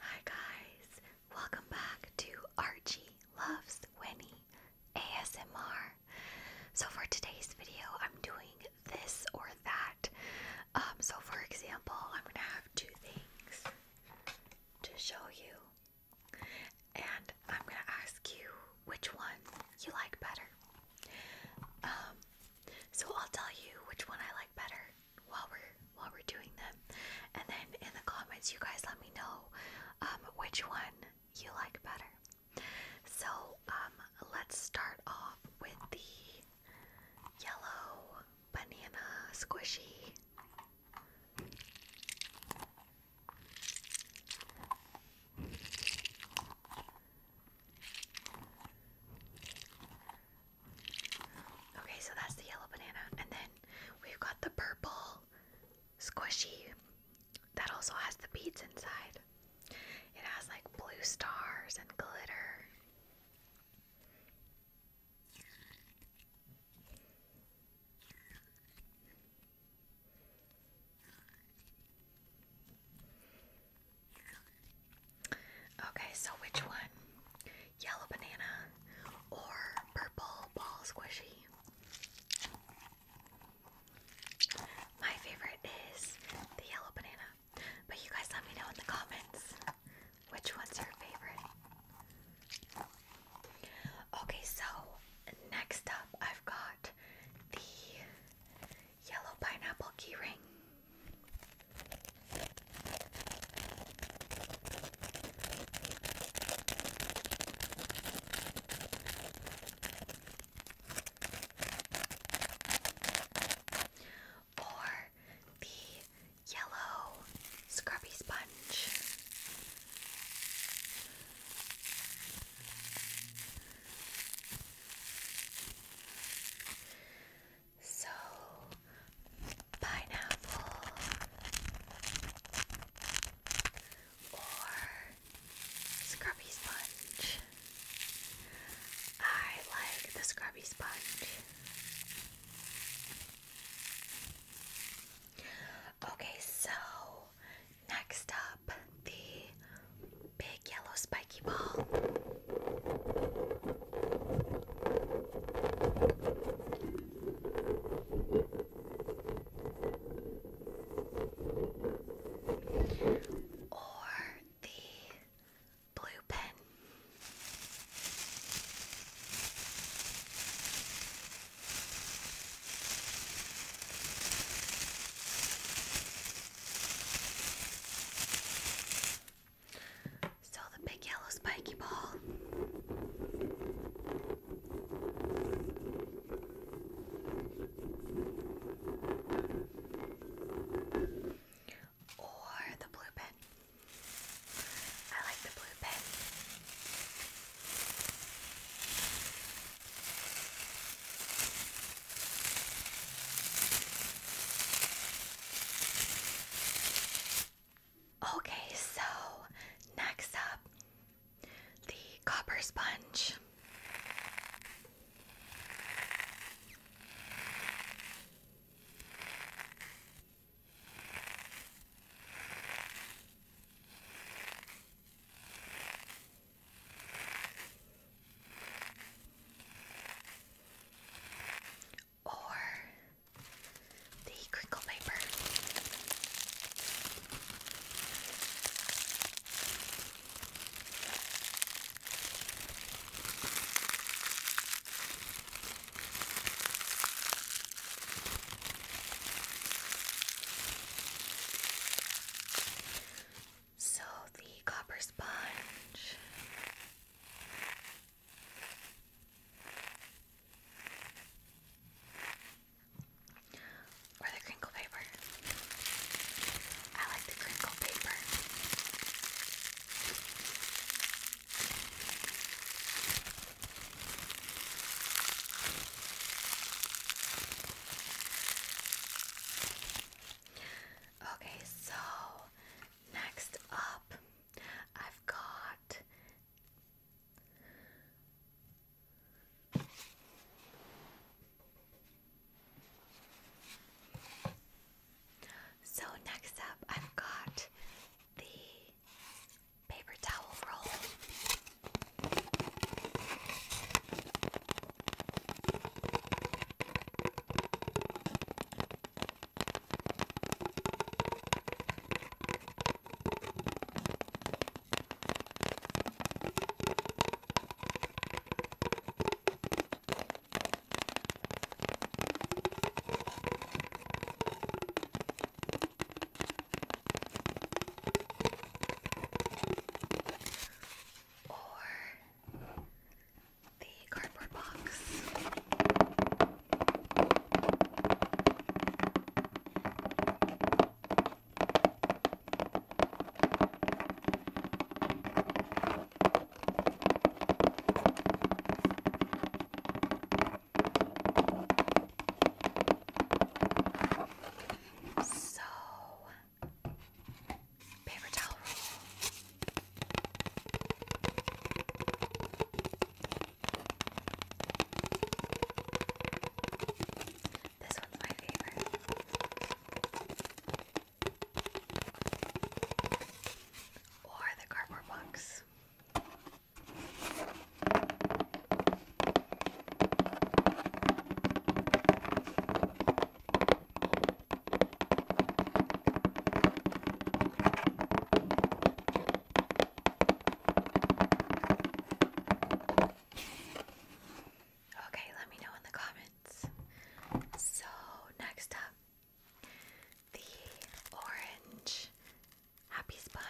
Hi guys, welcome back to Archie Loves Winnie ASMR. So for today's video, I'm doing this or that. Um, so for example, I'm gonna have two things to show you, and I'm gonna ask you which one you like better. Um, so I'll tell you which one I like better while we're while we're doing them, and then in the comments, you guys let me know um, which one you like better. So um, let's start off with the yellow banana squishy. Okay, so that's the yellow banana. And then we've got the purple squishy that also has the beads inside. It has like blue stars and glitter. Okay, so which one? Yellow banana or purple ball squishy? My favorite is the yellow banana, but you guys let me know in the comments which one's your favorite. Okay, so Next up, I've got the yellow pineapple keyring. Or the yellow scrubby sponge. So, pineapple or scrubby sponge. I like the scrubby sponge. Okay, so next up, the big yellow spiky ball. Or the blue pen. So the big yellow spiky ball. Or the blue pen. I like the blue pen. Okay, so next up, the copper sponge. Or the crinkle paper. So the copper sponge or the crinkle paper. I like the crinkle paper. Okay, so next up, I've got so next up, I've got the paper towel roll or the cardboard box. So, paper towel This one's my favorite. Or the cardboard box. Okay, let me know in the comments. So, next up, the orange Happy Sponge.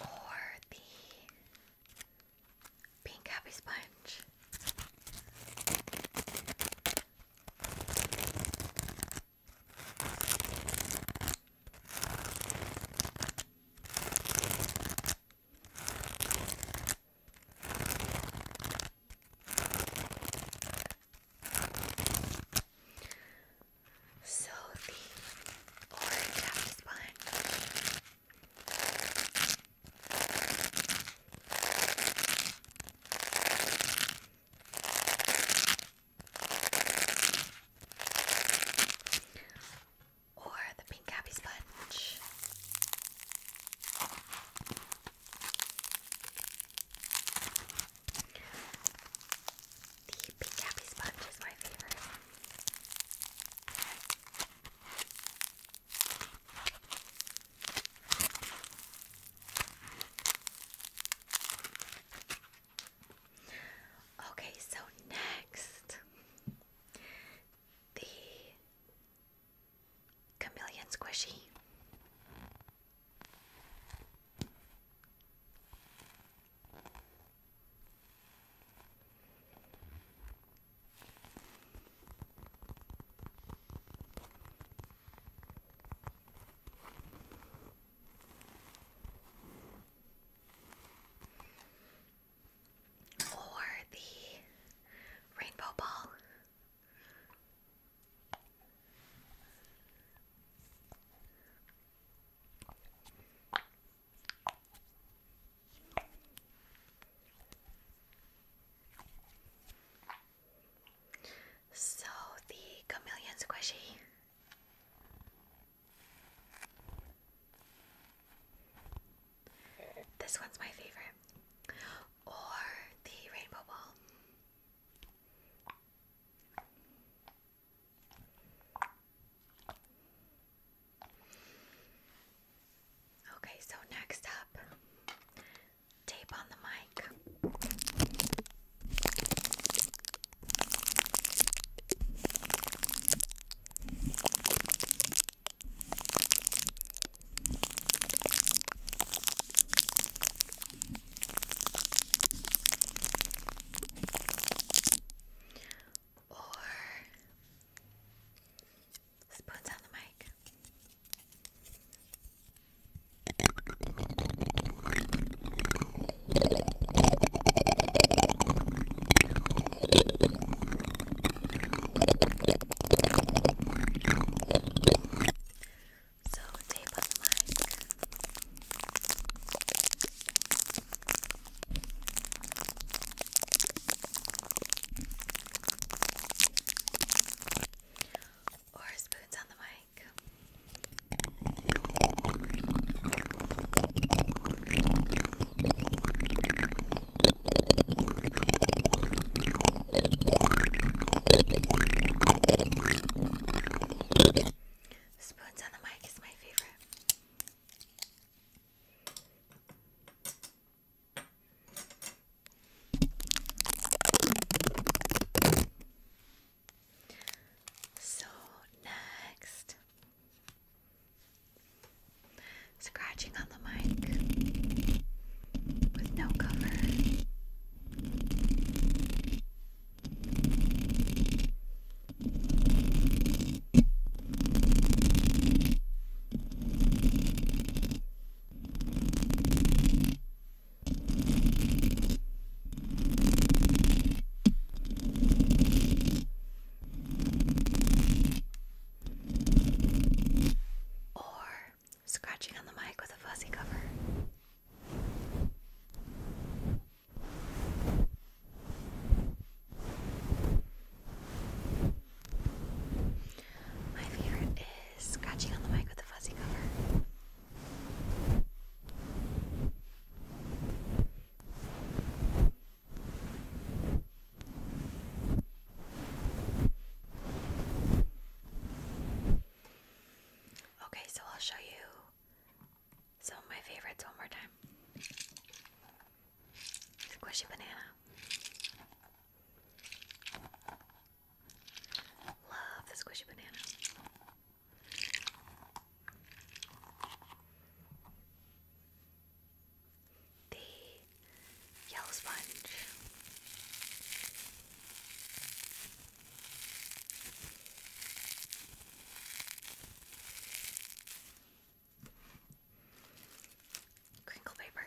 Or the pink happy sponge. So the orange apple sponge or the pink happy sponge. The pink happy sponge is my favorite. Okay, so next, the chameleon squishy. Or the rainbow ball. So the chameleon squishy this one's my favorite. Or the rainbow ball. Okay, so next up, tape on the mic. Or spoons on the mic. So tape up the mic. Or spoons on the mic. Spoons on the mic is my favorite. So next, scratching on the mic with no cover. Or scratching on the mic with a fuzzy cover. My favorite is scratching on the mic with a fuzzy cover. Okay, so I'll show you some of my favorites one more time. Squishy banana. Love the squishy banana. The yellow sponge. Crinkle paper.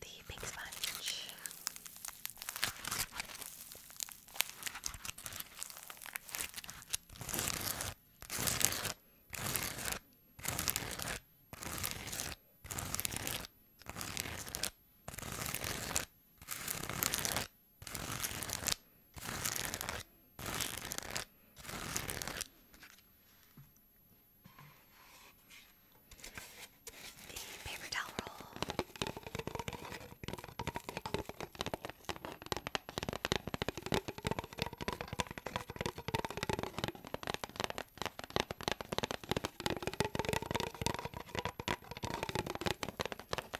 The pink sponge. The paper towel roll.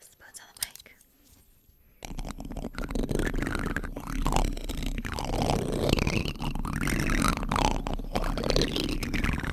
Spoons on the mic.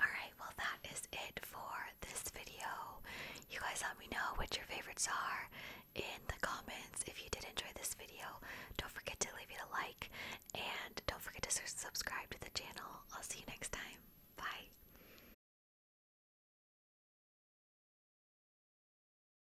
Alright, well, that is it for this video. You guys let me know what your favorites are in the comments. If you did enjoy this video, don't forget to leave it a like and don't forget to subscribe to the channel. I'll see you next time. Bye.